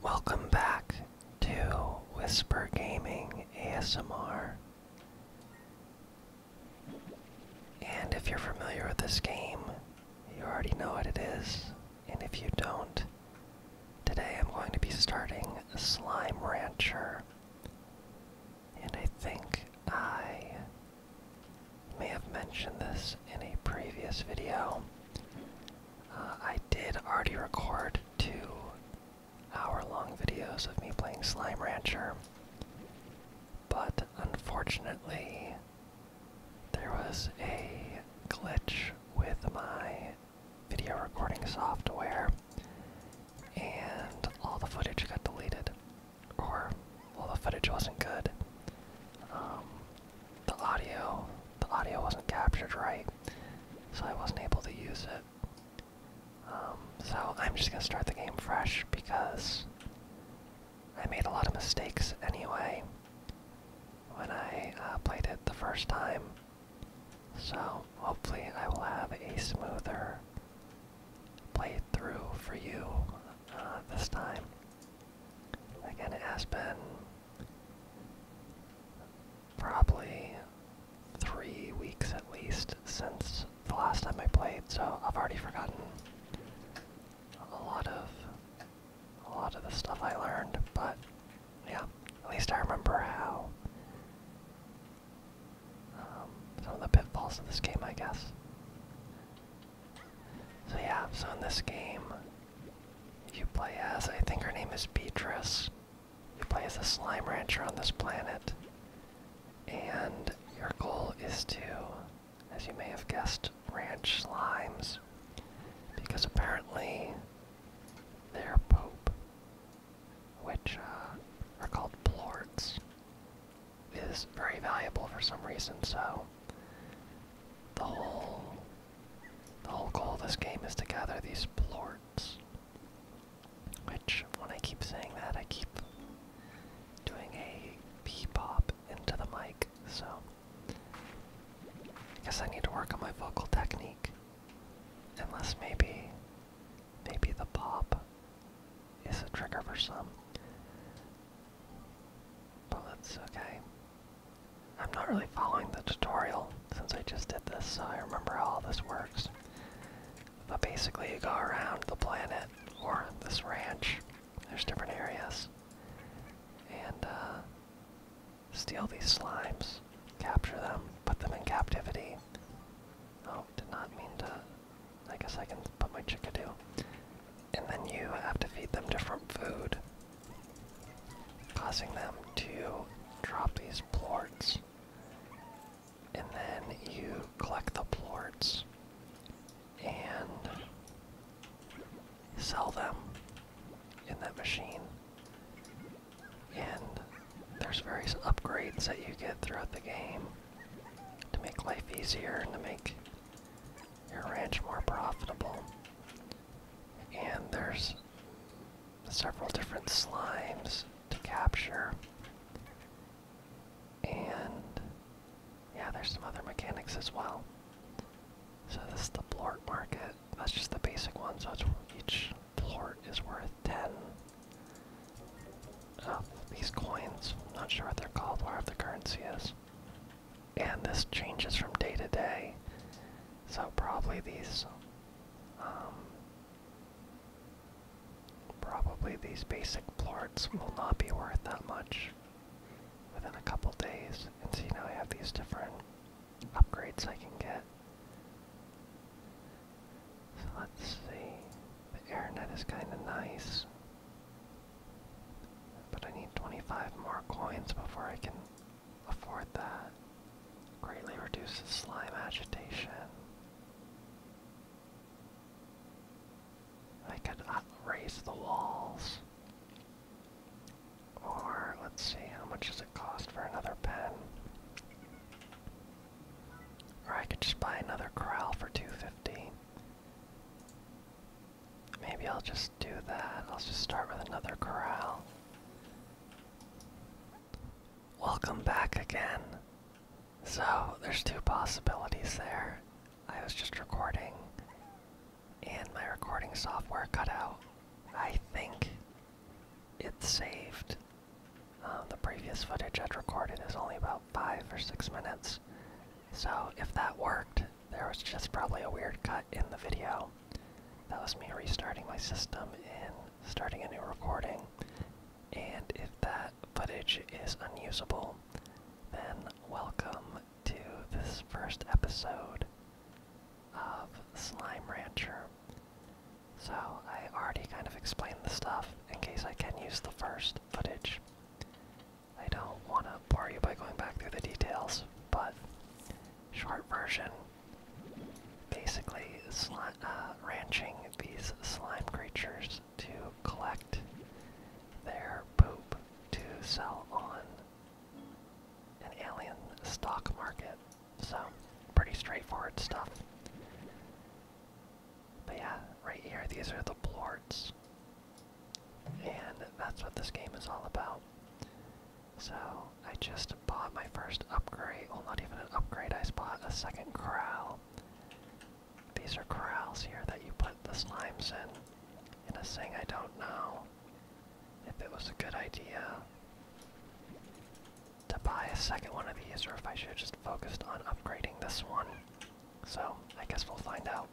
Welcome back to Whisper Gaming ASMR. And if you're familiar with this game, you already know what it is. And if you don't, today I'm going to be starting Slime Rancher. And I think I may have mentioned this in a previous video. Uh, I did already record two hour-long videos of me playing Slime Rancher, but unfortunately, there was a glitch with my video recording software, and all the footage got deleted, or all the footage wasn't good. Um, the audio the audio wasn't captured right, so I wasn't able to use it. Um, so I'm just gonna start the game fresh because I made a lot of mistakes anyway when I uh, played it the first time. So hopefully I will have a smoother playthrough for you uh, this time. Again, Aspen probably three weeks at least since the last time I played, so I've already forgotten a lot of a lot of the stuff I learned, but yeah, at least I remember how um, some of the pitfalls of this game, I guess. So yeah, so in this game, you play as, I think her name is Beatrice. You play as a slime rancher on this planet. And your goal is to, as you may have guessed, ranch slimes. Because apparently they're poop. Which uh, are called plorts. Is very valuable for some reason, so the whole the whole goal of this game is to gather these plorts. Which, when I keep saying that, I keep doing a beep pop into the mic, so... I guess I need to work on my vocal technique. Unless maybe... Maybe the pop is a trigger for some. But that's okay. I'm not really following the tutorial since I just did this, so I remember how all this works. But basically, you go around the planet or this ranch, there's different areas, and uh, steal these slimes, capture them, put them in captivity. Oh, did not mean to. I guess I can put my chickadee. And then you have to feed them different food causing them to drop these plorts. And then you collect the plorts and sell them in that machine. And there's various upgrades that you get throughout the game to make life easier and to make your ranch more profitable and there's several different slimes to capture. And yeah, there's some other mechanics as well. So this is the Blort market. That's just the basic one, so it's, each Blort is worth 10 of these coins. I'm not sure what they're called, wherever the currency is and this changes from day to day. So probably these, um, probably these basic plorts will not be worth that much within a couple days. And see now I have these different upgrades I can get. So let's see, the air net is kind of nice. But I need 25 more coins before I can afford that. Greatly reduces slime agitation. I could uh, raise the walls. Or, let's see, how much does it cost for another pen? Or I could just buy another corral for 250. Maybe I'll just do that. I'll just start with another corral. Welcome back again. So, there's two possibilities there. I was just recording, and my recording software cut out. I think it saved. Uh, the previous footage I'd recorded is only about five or six minutes. So, if that worked, there was just probably a weird cut in the video that was me restarting my system and starting a new recording. And if that footage is unusable, then welcome to this first episode of Slime Rancher. So I already kind of explained the stuff in case I can use the first footage. I don't want to bore you by going back through the details, but short version, basically uh, ranching these slime creatures to collect their poop to sell on an alien stock market. So, pretty straightforward stuff. But yeah, right here, these are the blorts. And that's what this game is all about. So I just bought my first upgrade. Well, not even an upgrade, I bought a second corral. These are corrals here that you put the slimes in. in a thing I don't know if it was a good idea to buy a second one of these or if I should have just focused on upgrading this one. So I guess we'll find out.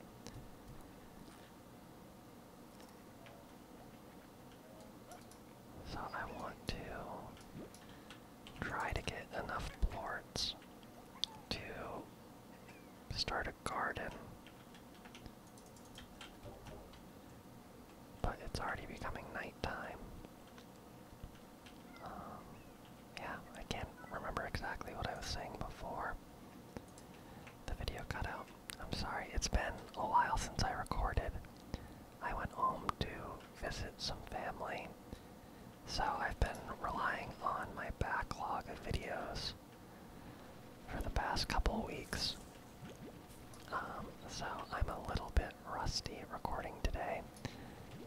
So I want to try to get enough plorts to start a garden. But it's already becoming nighttime. Um, yeah, I can't remember exactly what I was saying before the video cut out. I'm sorry, it's been a while since I recorded. I went home to visit some family, so I've been relying on my backlog of videos for the past couple weeks. Um, so I'm a little bit rusty recording today,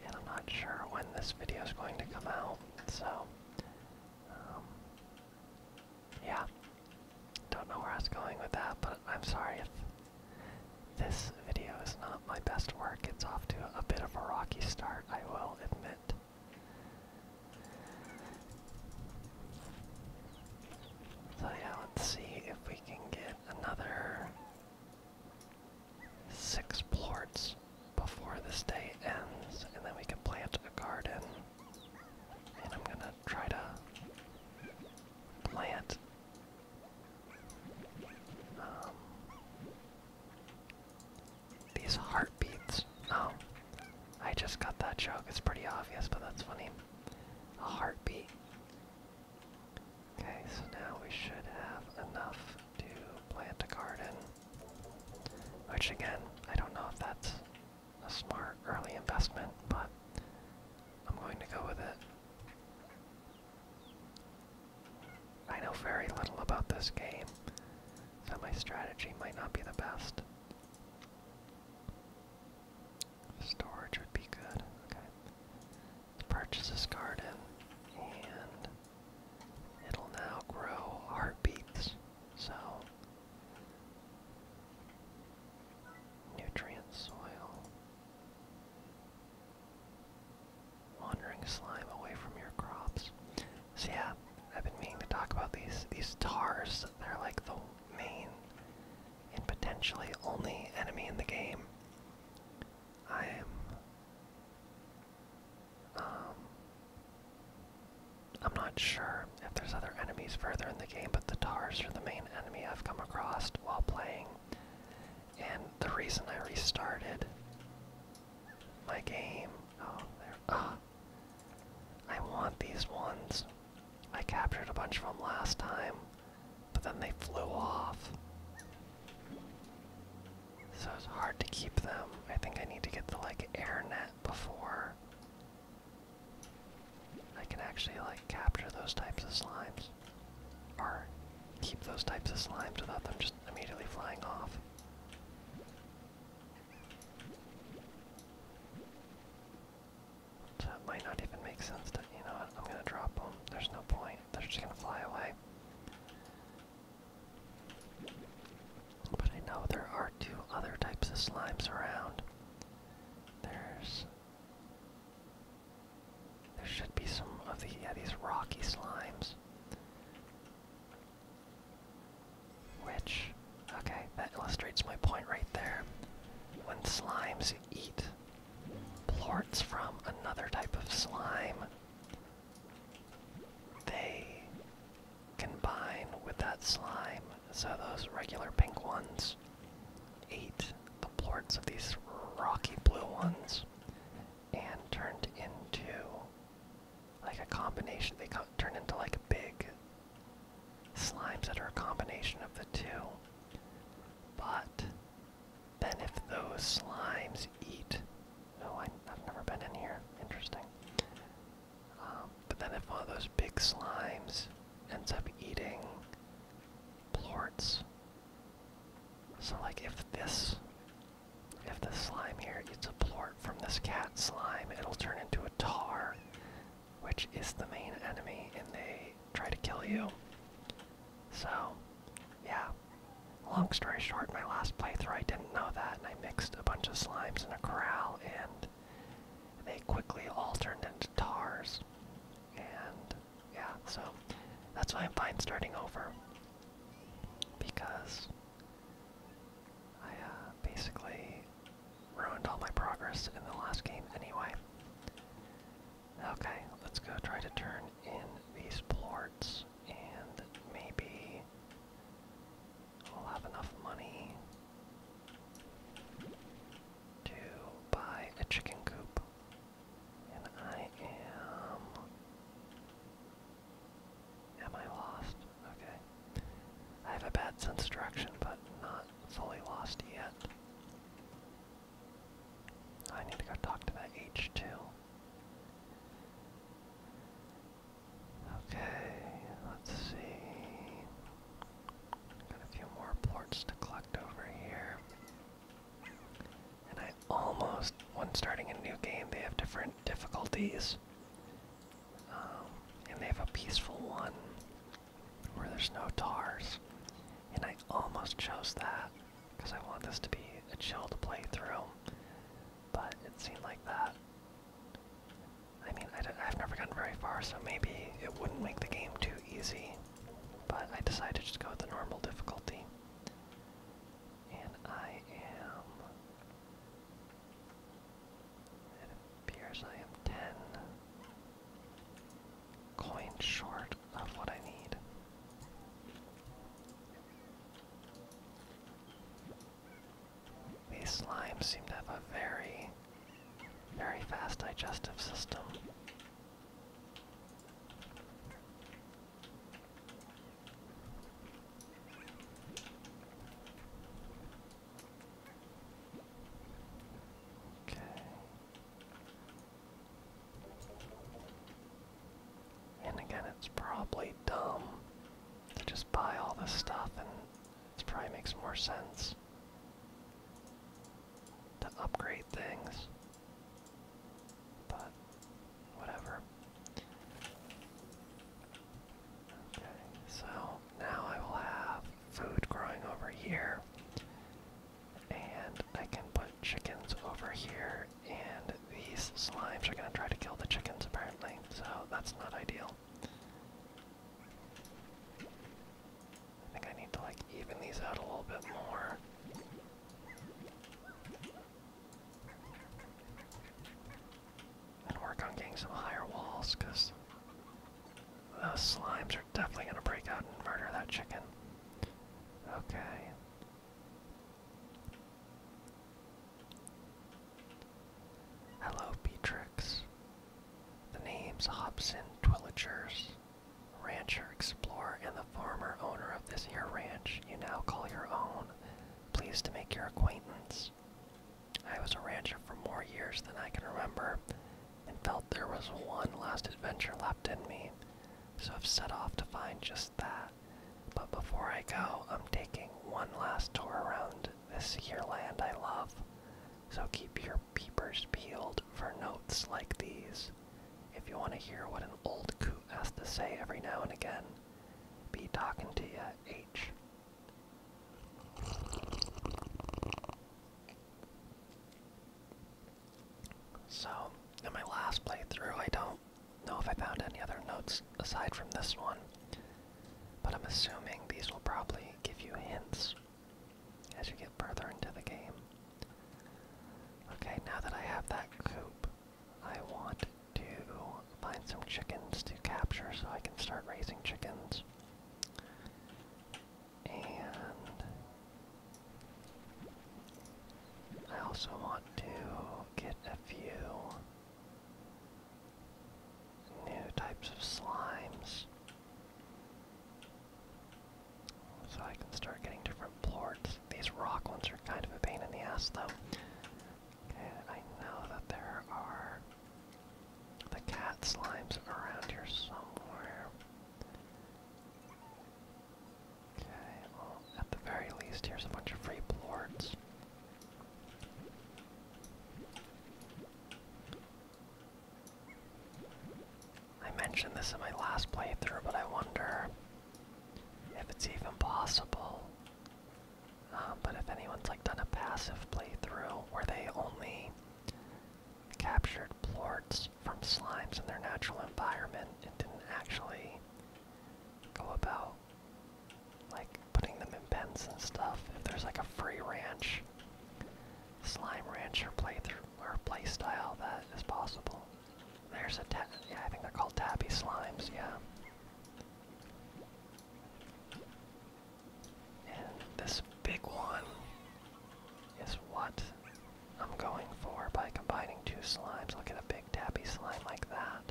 and I'm not sure when this video is going to come out, so um, yeah, don't know where I was going with that, but I'm sorry if this video is not my best work. It's off to a bit of a rocky start, I will admit. So yeah, let's see if we can get another six plorts before this day ends, and then we can plant a garden. And I'm gonna try to plant. Um, these heartbeats. Oh, I just got that joke. It's pretty obvious, but that's funny. A heartbeat. Okay, so now we should have enough to plant a garden. Which again, I don't know if that's a smart early investment, but I'm going to go with it. I know very little about this game, so my strategy might not be the best. Storage would be good. purchase this garden, and it'll now grow heartbeats. So Nutrient soil. Wandering slime away from your crops. So yeah, I've been meaning to talk about these these tars. They're like the main and potentially only enemy in the game. I am um I'm not sure if there's other enemies further in the game, but the TARs are the main enemy I've come across while playing. And the reason I restarted my game. Oh, there. Ah! I want these ones. I captured a bunch of them last time, but then they flew off. So it's hard to keep them. I think I need to get the like air net before I can actually like capture those types of slimes. Or keep those types of slimes without them just immediately flying off. So it might not even make sense to, you know I'm gonna drop them. There's no point. They're just gonna fly away. But I know there are two other types of slimes around. There's there should be some of the these rocky slimes. Which, okay, that illustrates my point right there. When slimes eat plorts from another type of slime, they combine with that slime. So those regular pink ones just the plorts of these rocky blue ones and turned into like a combination. They co turned into like a big slimes that are a combination of the two. But then if those slimes eat. No, oh, I, have never been in here. Interesting. Um, but then if one of those big slimes ends up eating plorts. So like if this if this slime here eats a plort from this cat slime, it'll turn into a tar, which is the main enemy and they try to kill you. So yeah. Long story short, my last playthrough I didn't know that and I mixed a bunch of slimes in a corral and they quickly all turned into tars. And yeah, so that's why I'm fine starting over. Because I uh, basically ruined all my progress in the last game anyway. Okay, let's go try to turn in these plorts and maybe we'll have enough money to buy a chicken coop. And I am. Am I lost? Okay. I have a bad sense of direction, but not fully lost yet. I need to go talk to that H2. Okay, let's see. Got a few more plorts to collect over here. And I almost, when starting a new game, they have different difficulties. Um, and they have a peaceful one where there's no tars. And I almost chose that because I want this to be a chill to play through. But it seemed like that. I mean, i d I've never gotten very far, so maybe it wouldn't make the game too easy, but I decided to go with the normal difficulty. And I am. appears I am 10 coins short of what I need. These slimes seem to have a very very fast digestive system. Okay. And again, it's probably dumb to just buy all this stuff, and it probably makes more sense to upgrade things. But whatever. Okay, so now I will have food growing over here. And I can put chickens over here, and these slimes are gonna try to kill the chickens apparently, so that's not ideal. I think I need to like even these out a little bit more. And work on getting some higher walls, because those slimes are definitely going to break out and murder that chicken. Okay. Hello, Beatrix. The name's Hobson Twilligers Rancher, explorer, and the former owner of this here ranch you now call your own. Pleased to make your acquaintance. I was a rancher for more years than I can remember, and felt there was one last adventure left in me, so I've set off to find just that. But before I go, I'm taking one last tour around this here land I love, so keep your peepers peeled for notes like these. If you want to hear what an old coot has to say every now and again, be talking to ya, H. So, in my last playthrough, I don't know if I found any other notes aside from this one, but I'm assuming these will probably give you hints as you get further into the game. Okay, now that I have that coop, I want to find some chickens to capture so I can start raising chickens. And I also want to get a few new types of slimes. So I can start getting different plorts. These rock ones are kind of a pain in the ass though. I know that there are the cat slimes around here somewhere. Okay, well, at the very least, here's a bunch of free plorts. I mentioned this in my last playthrough, but I wonder if it's even possible. Uh, but if anyone's like done a passive playthrough where they only captured plorts from slimes in their natural environment and didn't actually go about like putting them in pens and stuff, if there's like a free ranch Slime Rancher playthrough or playstyle that is possible. There's a yeah, I think they're called tabby slimes, yeah. And this big one is what I'm going for by combining two slimes. I'll get a big tabby slime like that.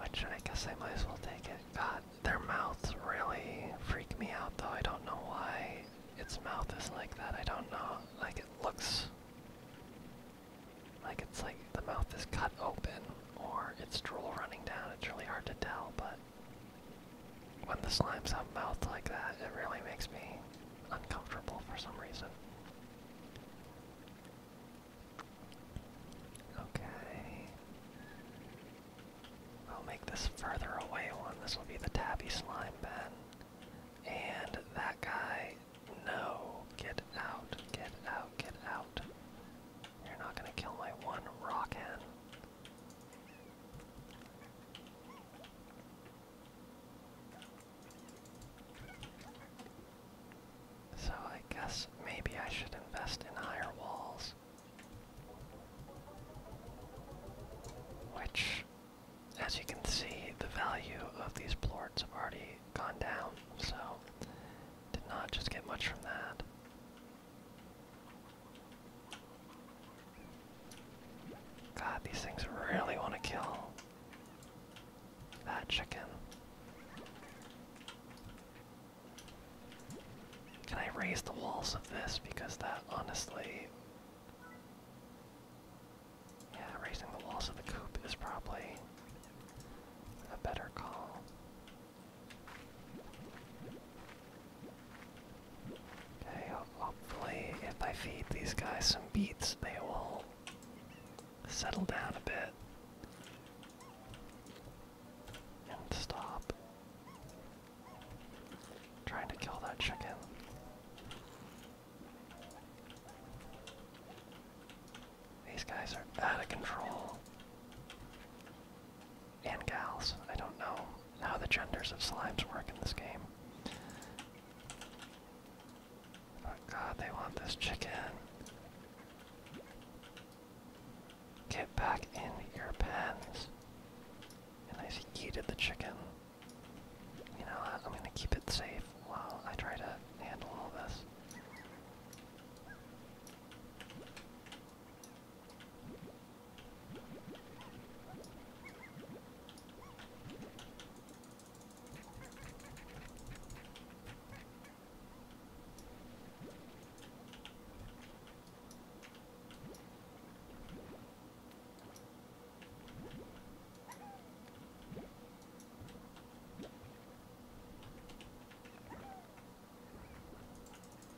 Which I guess I might as well take it. God, their mouths really freak me out though. I don't know why its mouth is like that. I don't know. Like it looks like it's like the mouth is cut open or it's drool running down. It's really hard to tell, but when the slimes have mouths like that, it really makes me uncomfortable for some reason. Okay. I'll make this further away one. This will be the tabby slime pen. And that guy, no, get out, get out, get out. You're not gonna kill my one rock hen. So I guess maybe I should invest in higher walls. Which, as you can see, the value of these plorts have already gone down, so did not just get much from that. God, these things really want to kill that chicken. Can I raise the walls of this? Because that honestly. Yeah, raising the walls of the coop is probably a better call. Okay, hopefully, if I feed these guys some beets, they will settle down a bit stop. Trying to kill that chicken. These guys are out of control. And gals. I don't know how the genders of slimes work in this game. But god, they want this chicken. Get back in your pens. And I yeeted the chicken. You know I'm gonna keep it safe while I try to handle all this.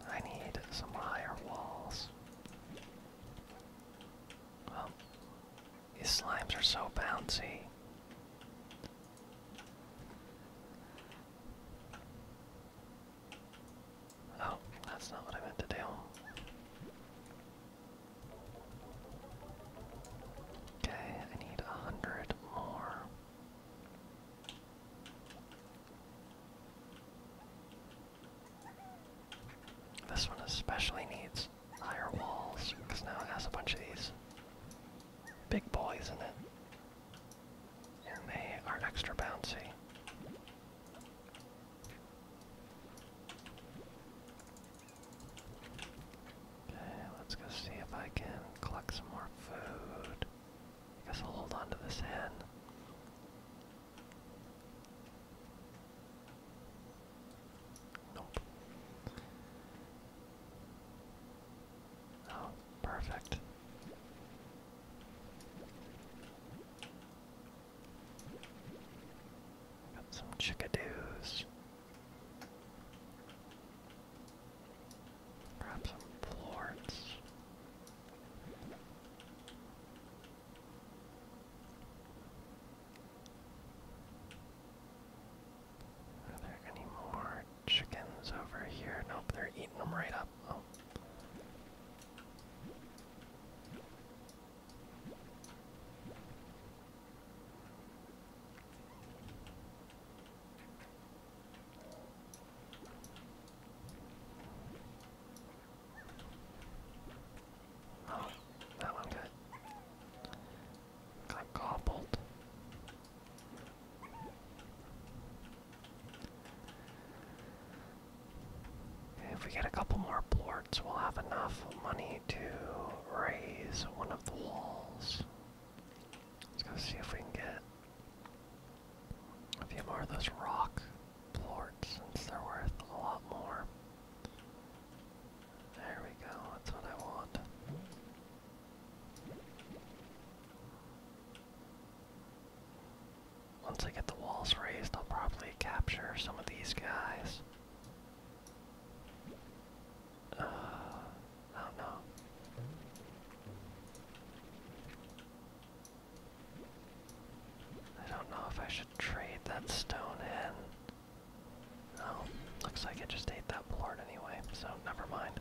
I need some higher walls. Well, these slimes are so bouncy. Oh, that's not what I meant to do. Okay, I need a hundred more. This one especially needs higher walls because now it has a bunch of these big boys in it. And they are extra bouncy. Okay, let's go see if I can collect some more food. I guess I'll hold on this hen. Nope. Oh, Perfect. Got some chickadees. Grab some florts. Are there any more chickens over here? Nope, they're eating them right up. Oh. Oh, that one got got gobbled. If we get a couple more blorts, we'll have enough money to raise one of the walls. Let's go see if we can get a few more of those rock blorts since they're worth a lot more. There we go, that's what I want. Once I get the walls raised, I'll probably capture some of these guys. Uh, I don't know. I don't know if I should trade that stone in. Oh, looks like it just ate that board anyway, so never mind.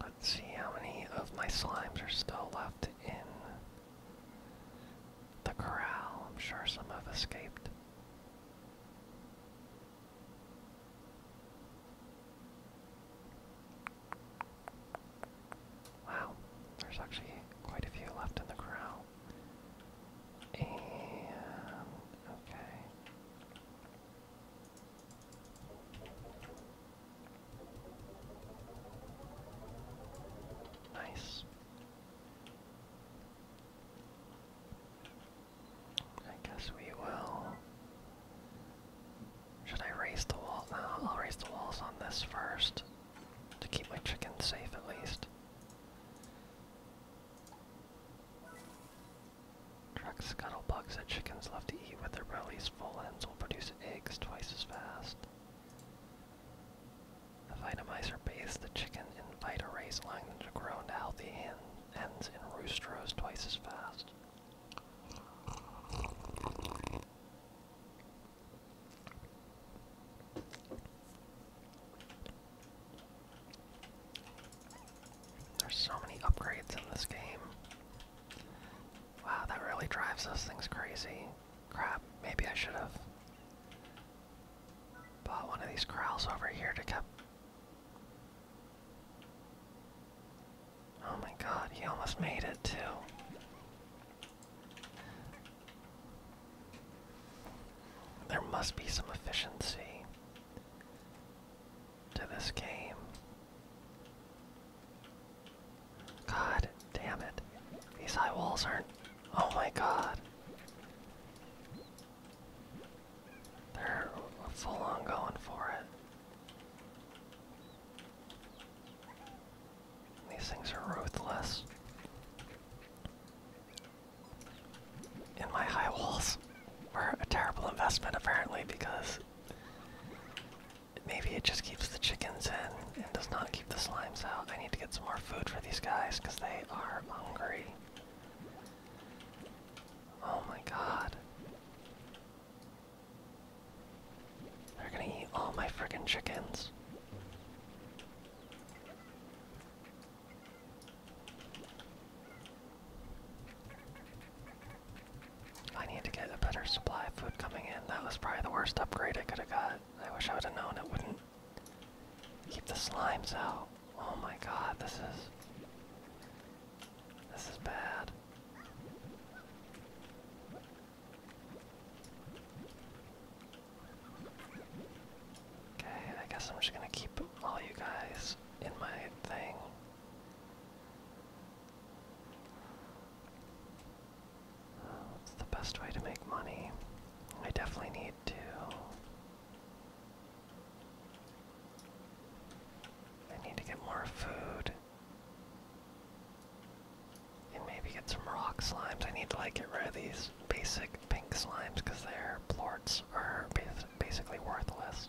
Let's see how many of my slimes are still left in the corral. I'm sure some have escaped. Wow, there's actually quite a few left in the corral. And, okay. Nice. I guess we will. Should I raise the wall? No, I'll raise the walls on this first to keep my chickens safe at least. Truck scuttle bugs that chickens love to eat with their bellies full hens will produce eggs twice as fast. The Vitamizer base the chicken in Vitarays, allowing them to grow into healthy hens and roosters twice as fast. There's so many upgrades in this game. Wow, that really drives those things crazy. Crap, maybe I should have bought one of these corrals over here to keep. Oh my god, he almost made it too. There must be some efficiency to this game. God damn it. These high walls aren't. Oh my god. They're full on going for it. These things are ruthless. And my high walls were a terrible investment apparently because Maybe it just keeps the chickens in and does not keep the slimes out. I need to get some more food for these guys because they are hungry. Oh my god. They're gonna eat all my friggin' chickens. I need to get a better supply of food coming in. That was probably the worst upgrade I could have got. I wish I would have known it wouldn't keep the slimes out. Oh my god, this is. This is bad. Okay, I guess I'm just gonna keep all you guys in my thing. What's the best way to make money? I definitely need to. I need to get more food. And maybe get some rock slimes. I need to like get rid of these basic pink slimes because their plorts are basically worthless.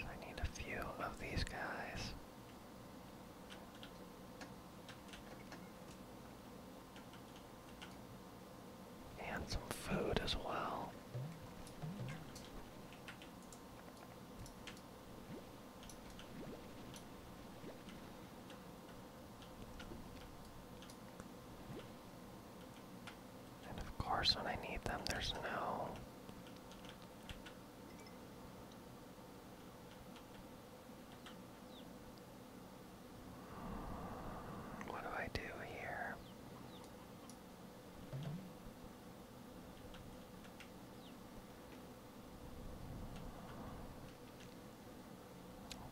I need a few of these guys. And some food as well. And of course, when I need them, there's no. Hmm, what do I do here?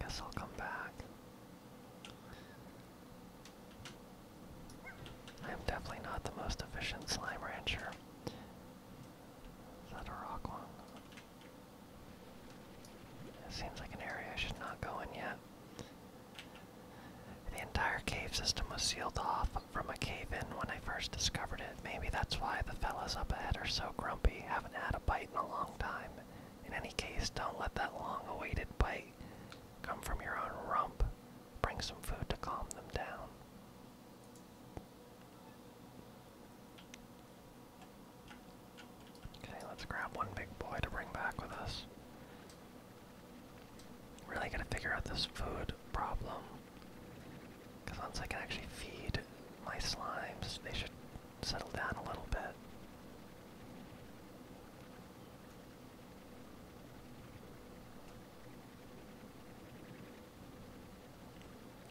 Guess I'll come back. I am definitely not the most efficient slime rancher. Is that a rock wall? It seems like an area I should not go in yet. The entire cave system was sealed off from a cave in when I first discovered it. Maybe that's why the fellas up ahead are so grumpy, haven't had a bite in a long time. In any case, don't let that long awaited bite come from your own rump. Bring some food to calm them down. Okay, let's grab one big boy to bring back with us. Really gotta figure out this food problem. Because once I can actually feed my slimes, they should settle down a little bit.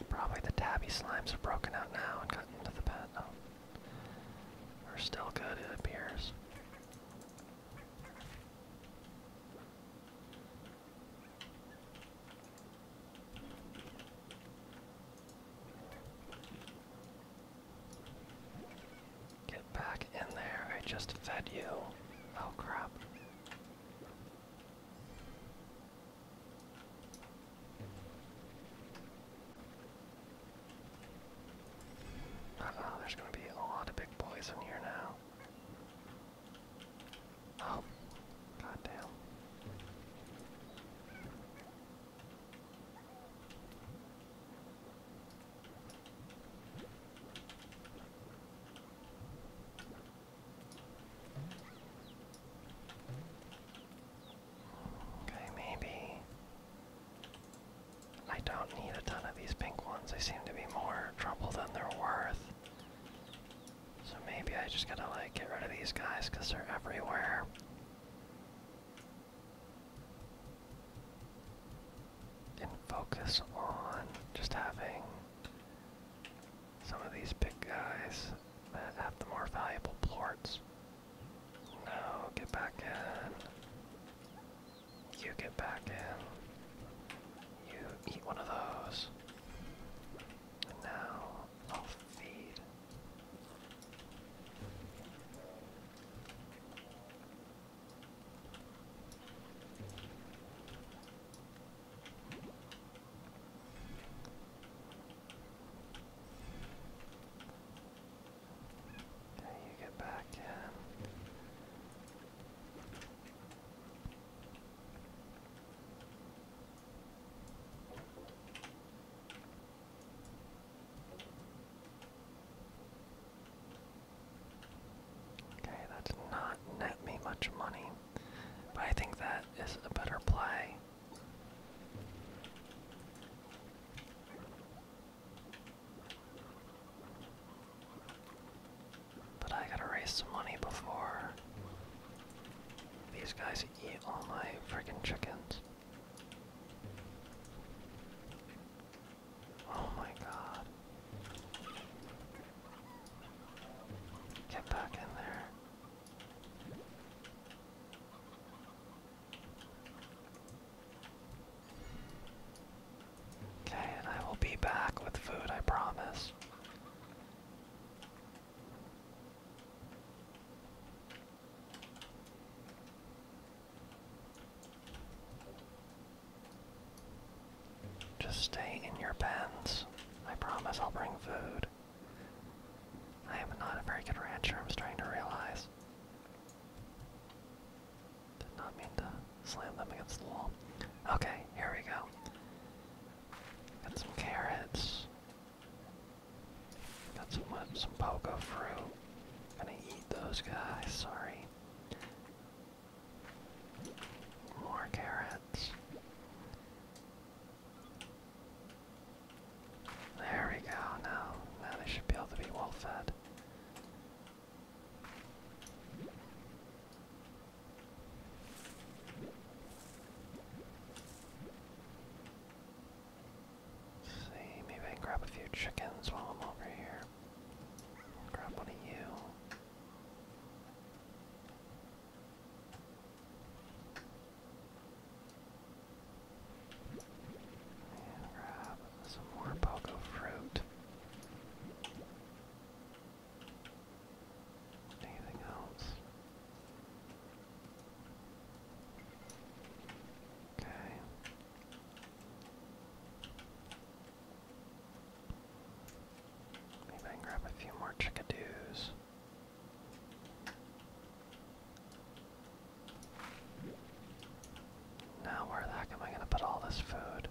Probably the tabby slimes have broken out now and gotten into the pet. Oh. are still good, it appears. Get back in there. I just fed you. Oh crap. Uh there's gonna be a lot of big boys in here now. Oh, goddamn. Okay, maybe I don't need a ton of these pink ones. They seem to be more trouble than they're worth. So maybe I just gotta like get rid of these guys because they're everywhere and focus on just having some of these big guys that have the more valuable plorts. No, get back in. You get back in. You eat one of those. And now of fear. Okay, you get back in. Okay, that's not net me much money, but I think that is a better play. But I gotta raise some money before these guys eat all my friggin' chickens. Oh my god. Get back in there. Okay, and I will be back with food, I promise. Just stay in your pens. I promise I'll bring food. I am not a very good rancher, I'm starting to realize. Did not mean to slam them against the wall. Okay, here we go. Got some carrots. Got some, some pogo fruit. Gonna eat those guys, sorry. More carrots. There we go, now, now they should be able to be well fed see, maybe I can grab a few chickens while I'm over here. Grab one of you. And grab some more pogo fruit. Anything else? Okay. Maybe I can grab a few more chickadees. Now where the heck am I gonna put all this food?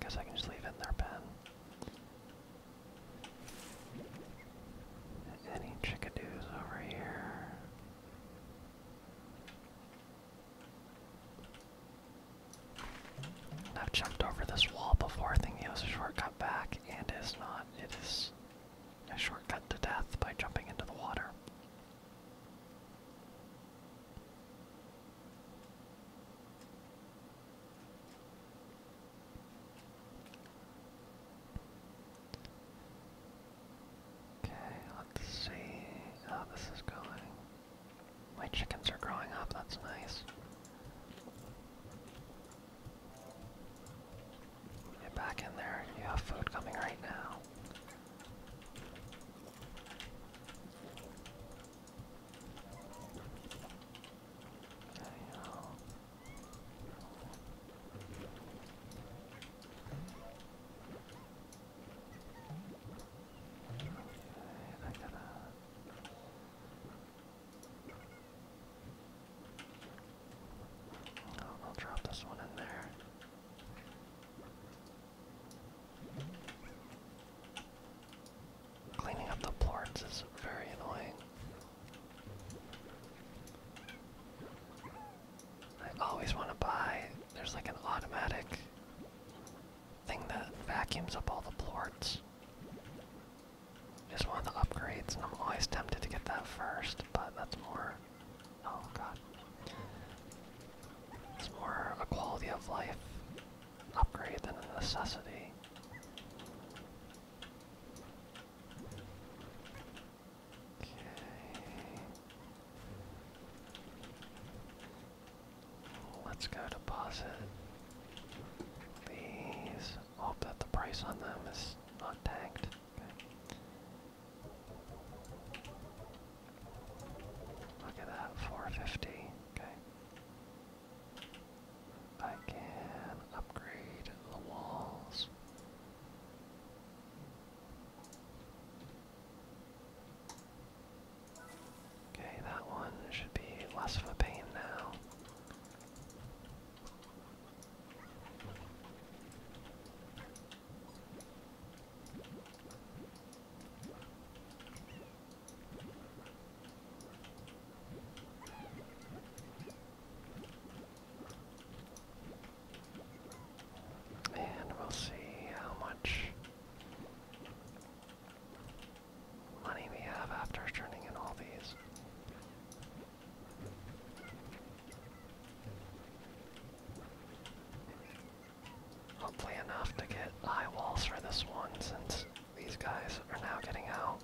Guess I can just leave it in their pen. Any chickadees over here? I've jumped over this wall before I think it was a shortcut back, and is not. It is a shortcut to death by jumping into the water. Okay, let's see how this is going. My chickens are growing up, that's nice. Get back in there, you have food coming right now. Okay, だから I'll, I'll drop this one in there. Cleaning up the plorts is very annoying. I always want to buy, there's like an automatic thing that vacuums up all the plorts. Just one of the upgrades, and I'm always tempted to get that first, but that's more. Oh god. It's more a quality of life upgrade than a necessity. Okay. Let's go deposit these. Hope oh, that the price on them is not tanked. Look at that, 450. Okay. I can upgrade the walls. Okay, that one should be less of a pain now. And we'll see how much money we have after turning in all these. Hopefully enough to get high walls for this one since these guys are now getting out.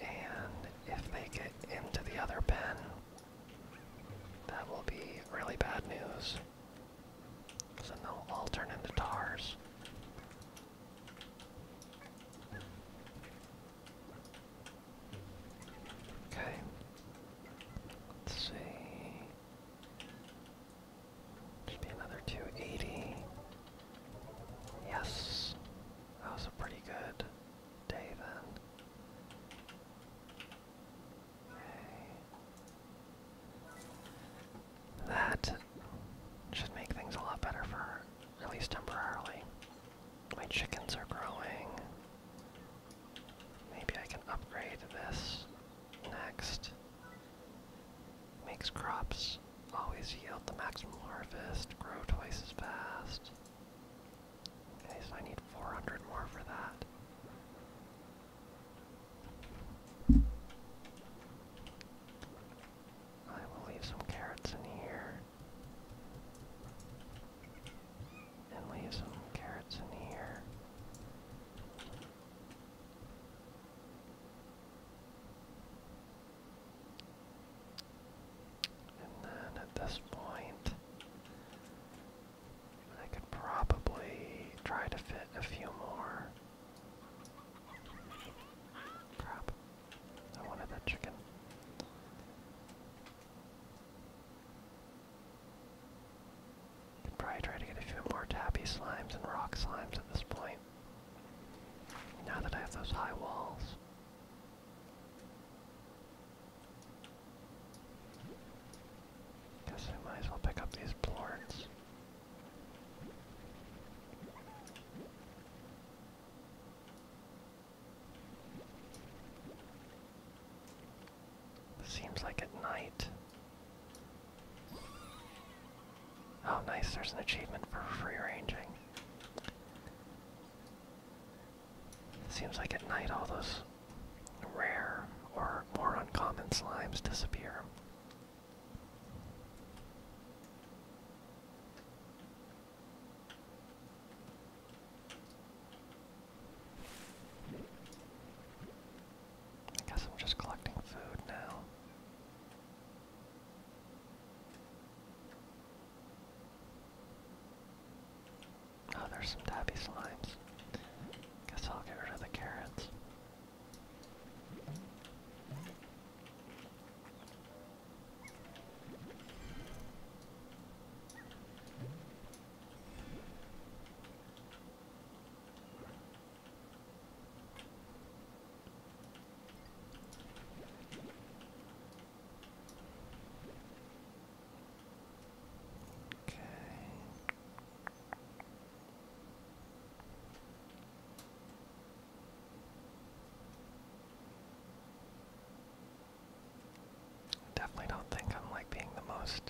And if they get into the other pen, that will be really bad news. So they'll turn into tars. Okay. Let's see. Should be another 280. Yes. That was pretty good David. That should make things a lot better for her, at least temporarily. My chickens are growing. Maybe I can upgrade this next. Makes crops always yield the maximum harvest, grow twice as fast. Okay, so I need 400 more for that. I will leave some carrots in here. And leave some carrots in here. And then at this point, I could probably try to fit a few more. Crap. I wanted that chicken. Could probably try to get a few more tappy slimes and rock slimes at this point. Now that I have those high walls. Guess I might as well pick up these plorts. Seems like at night. Oh nice, there's an achievement for free ranging seems like at night all those rare or more uncommon slimes disappear. I guess I'm just collecting food now. Oh, there's some dabby slimes. Guess I'll get rid of the carrots. Okay. I definitely don't think I'm like being the most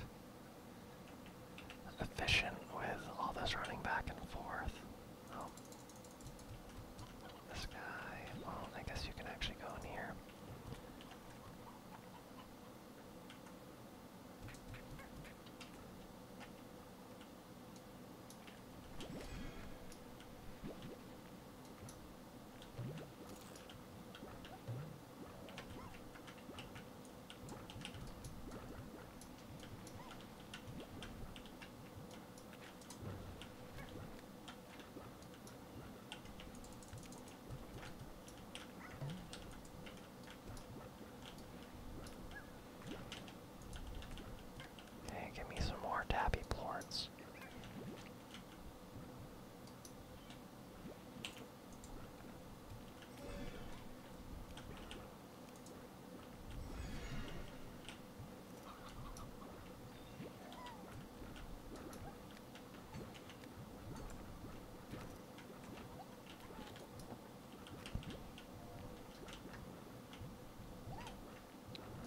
efficient with all this running back and forth. This guy, well, I guess you can actually go in here. Hey, give me some more tappy plorts.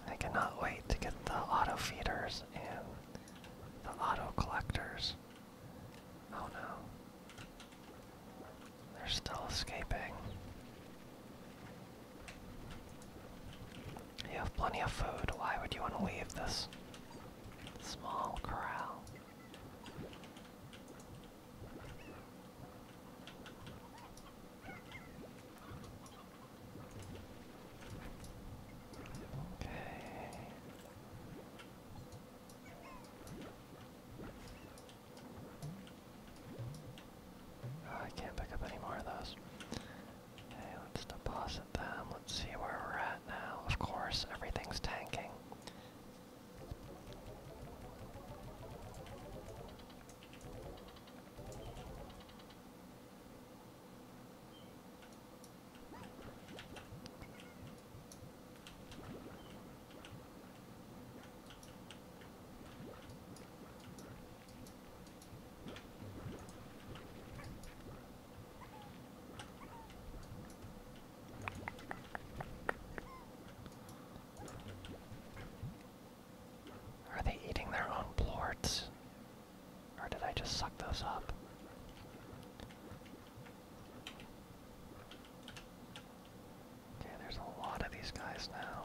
I cannot wait to get the auto feeders and the auto collectors. Oh no. They're still escaping. You have plenty of food. Why would you want to leave this small corral? Okay. I can't pick up any more of those. Okay, let's deposit them. Let's see where we're at now. Of course, everything's tanking. Are they eating their own plorts? Or did I just suck those up? Okay, there's a lot of these guys now.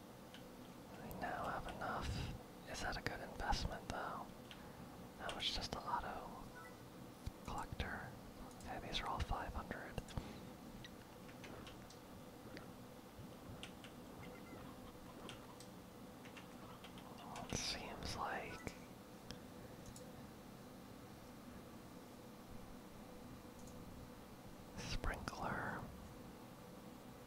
I now have enough. Is that a good investment though? That was just a auto collector? Okay, these are all 500. it seems like sprinkler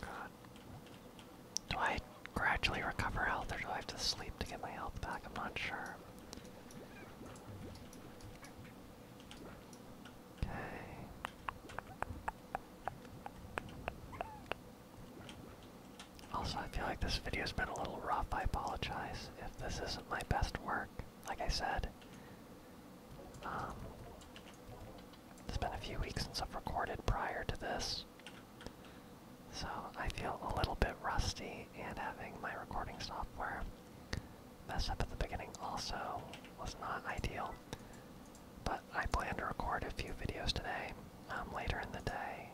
God. Do I gradually recover health or do I have to sleep to get my health back? I'm not sure. Also, I feel like this video's been a little rough. I apologize if this isn't my best work. Like I said, um, it's been a few weeks since I've recorded prior to this, so I feel a little bit rusty. And having my recording software mess up at the beginning also was not ideal. But I plan to record a few videos today, um, later in the day.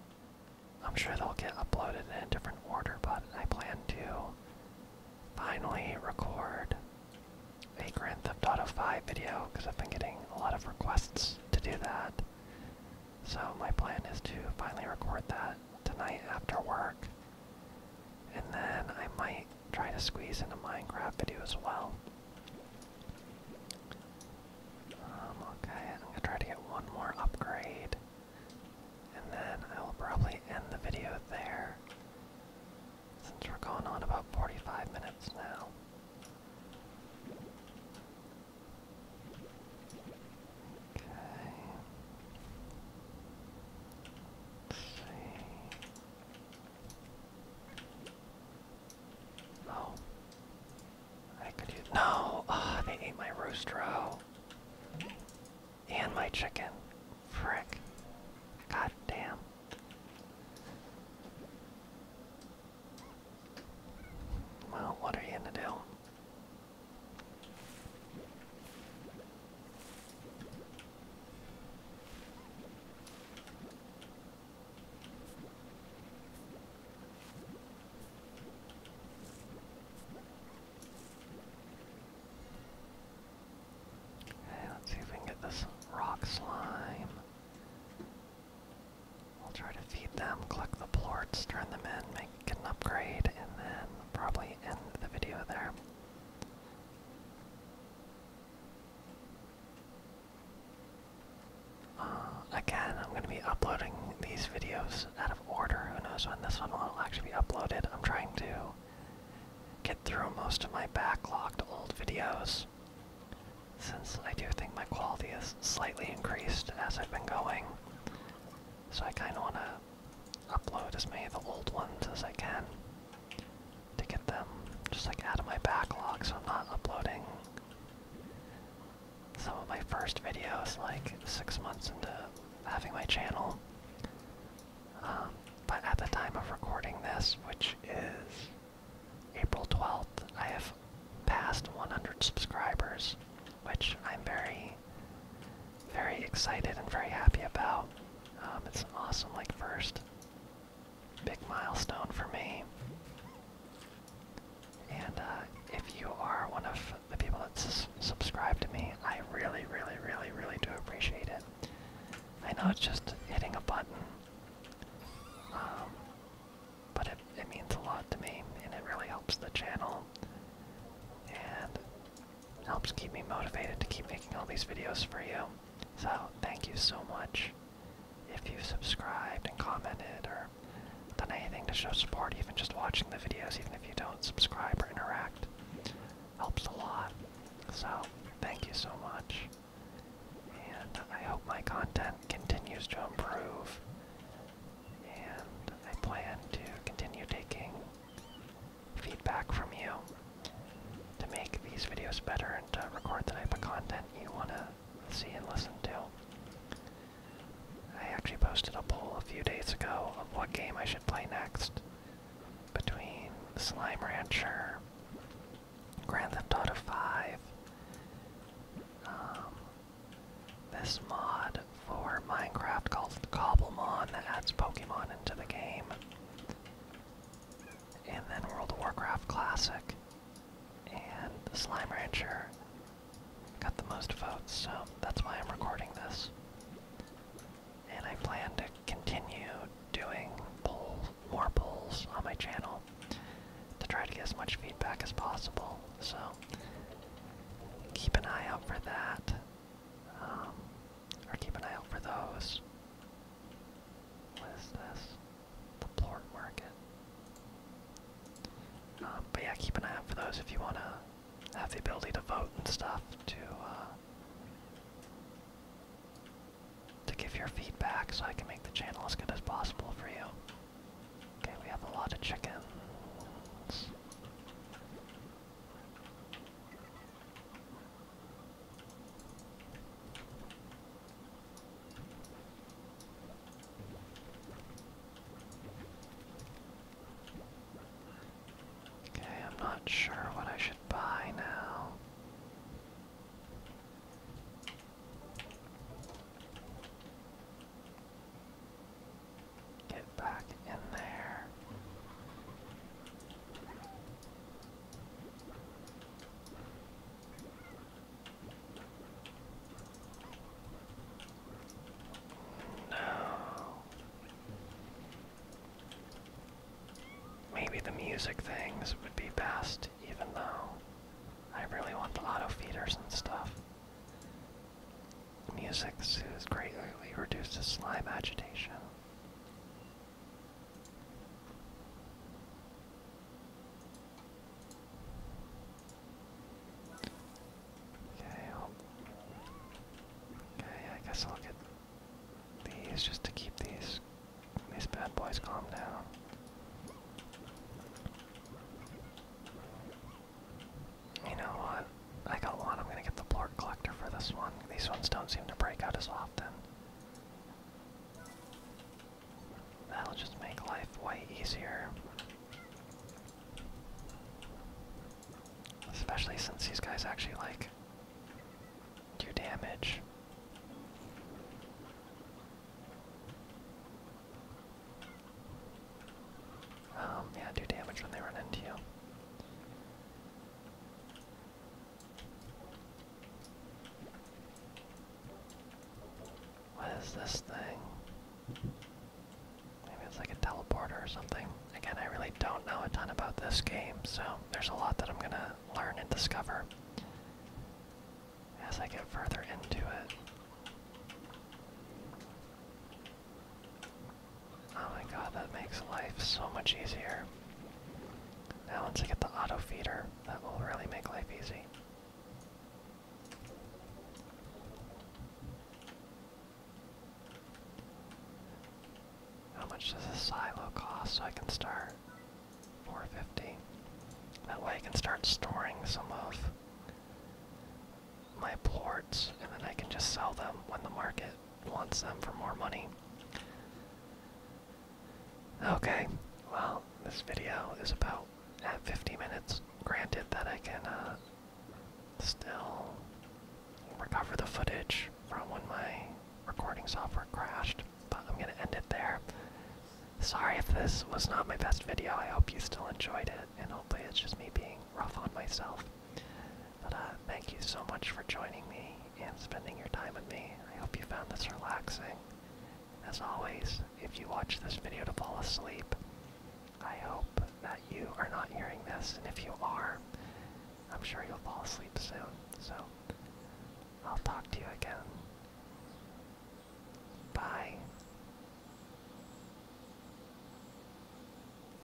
I'm sure they'll get uploaded in a different order, but I plan to finally record a Grand Theft Auto 5 video because I've been getting a lot of requests to do that. So my plan is to finally record that tonight after work. And then I might try to squeeze in a Minecraft video as well. Um, okay, I'm gonna try to get one more upgrade. And then I will probably end the video there. Since we're going on about 45 minutes now. Okay. see. No. I could use no. Ah, they ate my rooster row. and my chicken. Frick. God damn. Well, what are you gonna do? Hey, let's see if we can get this rock slime. We'll try to feed them, collect the plorts, turn them in, make get upgrade, and then probably end the video there. Uh, again, I'm going to be uploading these videos out of order. Who knows when this one will actually be uploaded? I'm trying to get through most of my backlogged old videos since I do think my quality is slightly increased as I've been going. So I kind of want to upload as many of the old ones as I can to get them just like out of my backlog so I'm not uploading some of my first videos like six months into having my channel. Um, but at the time of recording this, which is April 12th, I have passed 100 subscribers which I'm very, very excited and very happy about. Um, it's an awesome, like, first big milestone for me. And uh, if you are one of the people that s subscribe to me, I really, really, really, really do appreciate it. I know it's just hitting a button, um, but it, it means a lot to me, and it really helps the channel. And helps keep me motivated to keep making all these videos for you. So thank you so much if you've subscribed and commented or done anything to show support, even just watching the videos, even if you don't subscribe or interact. Helps a lot. So thank you so much. And I hope my content continues to improve and I plan to continue taking feedback from you to make these videos better and to record the type of content you want to see and listen to. I actually posted a poll a few days ago of what game I should play next between Slime Rancher, Grand Theft Auto V, um, this mod for Minecraft called Cobblemon that adds Pokemon into the game. And then World of Warcraft Classic and the Slime Rancher got the most votes, so that's why I'm recording this. And I plan to continue doing polls, more polls on my channel to try to get as much feedback as possible. So keep an eye out for that. Um, or keep an eye out for those. What is this? The Plort Market. Um, but yeah, keep an eye out for those if you want to have the ability to vote and stuff to uh, to give your feedback so I can make the channel as good as possible for you. Okay, we have a lot of chickens. Okay, I'm not sure what I should buy now. Get back in there. No. Maybe the music things would be best, even though I really want the auto feeders and stuff. Music soothes greatly, reduces slime agitation. Okay, okay, I guess I'll get these just to keep these these bad boys calm down. You know what? I got one. I'm going to get the Blort Collector for this one. These ones don't seem to break out as often. That'll just make life way easier. Especially since these guys actually, like, do damage. Um, yeah, do damage when they run into you. What is this thing? Maybe it's like a teleporter or something. Again, I really don't know a ton about this game, so there's a lot that I'm gonna learn and discover as I get further into it. Oh my god, that makes life so much easier. Now once I get the auto feeder, that will really make life easy. How much does a silo cost so I can start 450? That way I can start storing some of my ports, and then I can just sell them when the market wants them for more money. Okay, well, this video is about at 50 minutes. Granted that I can uh, still recover the footage from when my recording software crashed, but I'm going to end it there. Sorry if this was not my best video. I hope you still enjoyed it, and hopefully it's just me being rough on myself. But uh, thank you so much for joining me and spending your time with me. I hope you found this relaxing. As always, if you watch this video to fall asleep, I hope that you are not hearing this, and if you are, I'm sure you'll fall asleep soon. So, I'll talk to you again. Bye.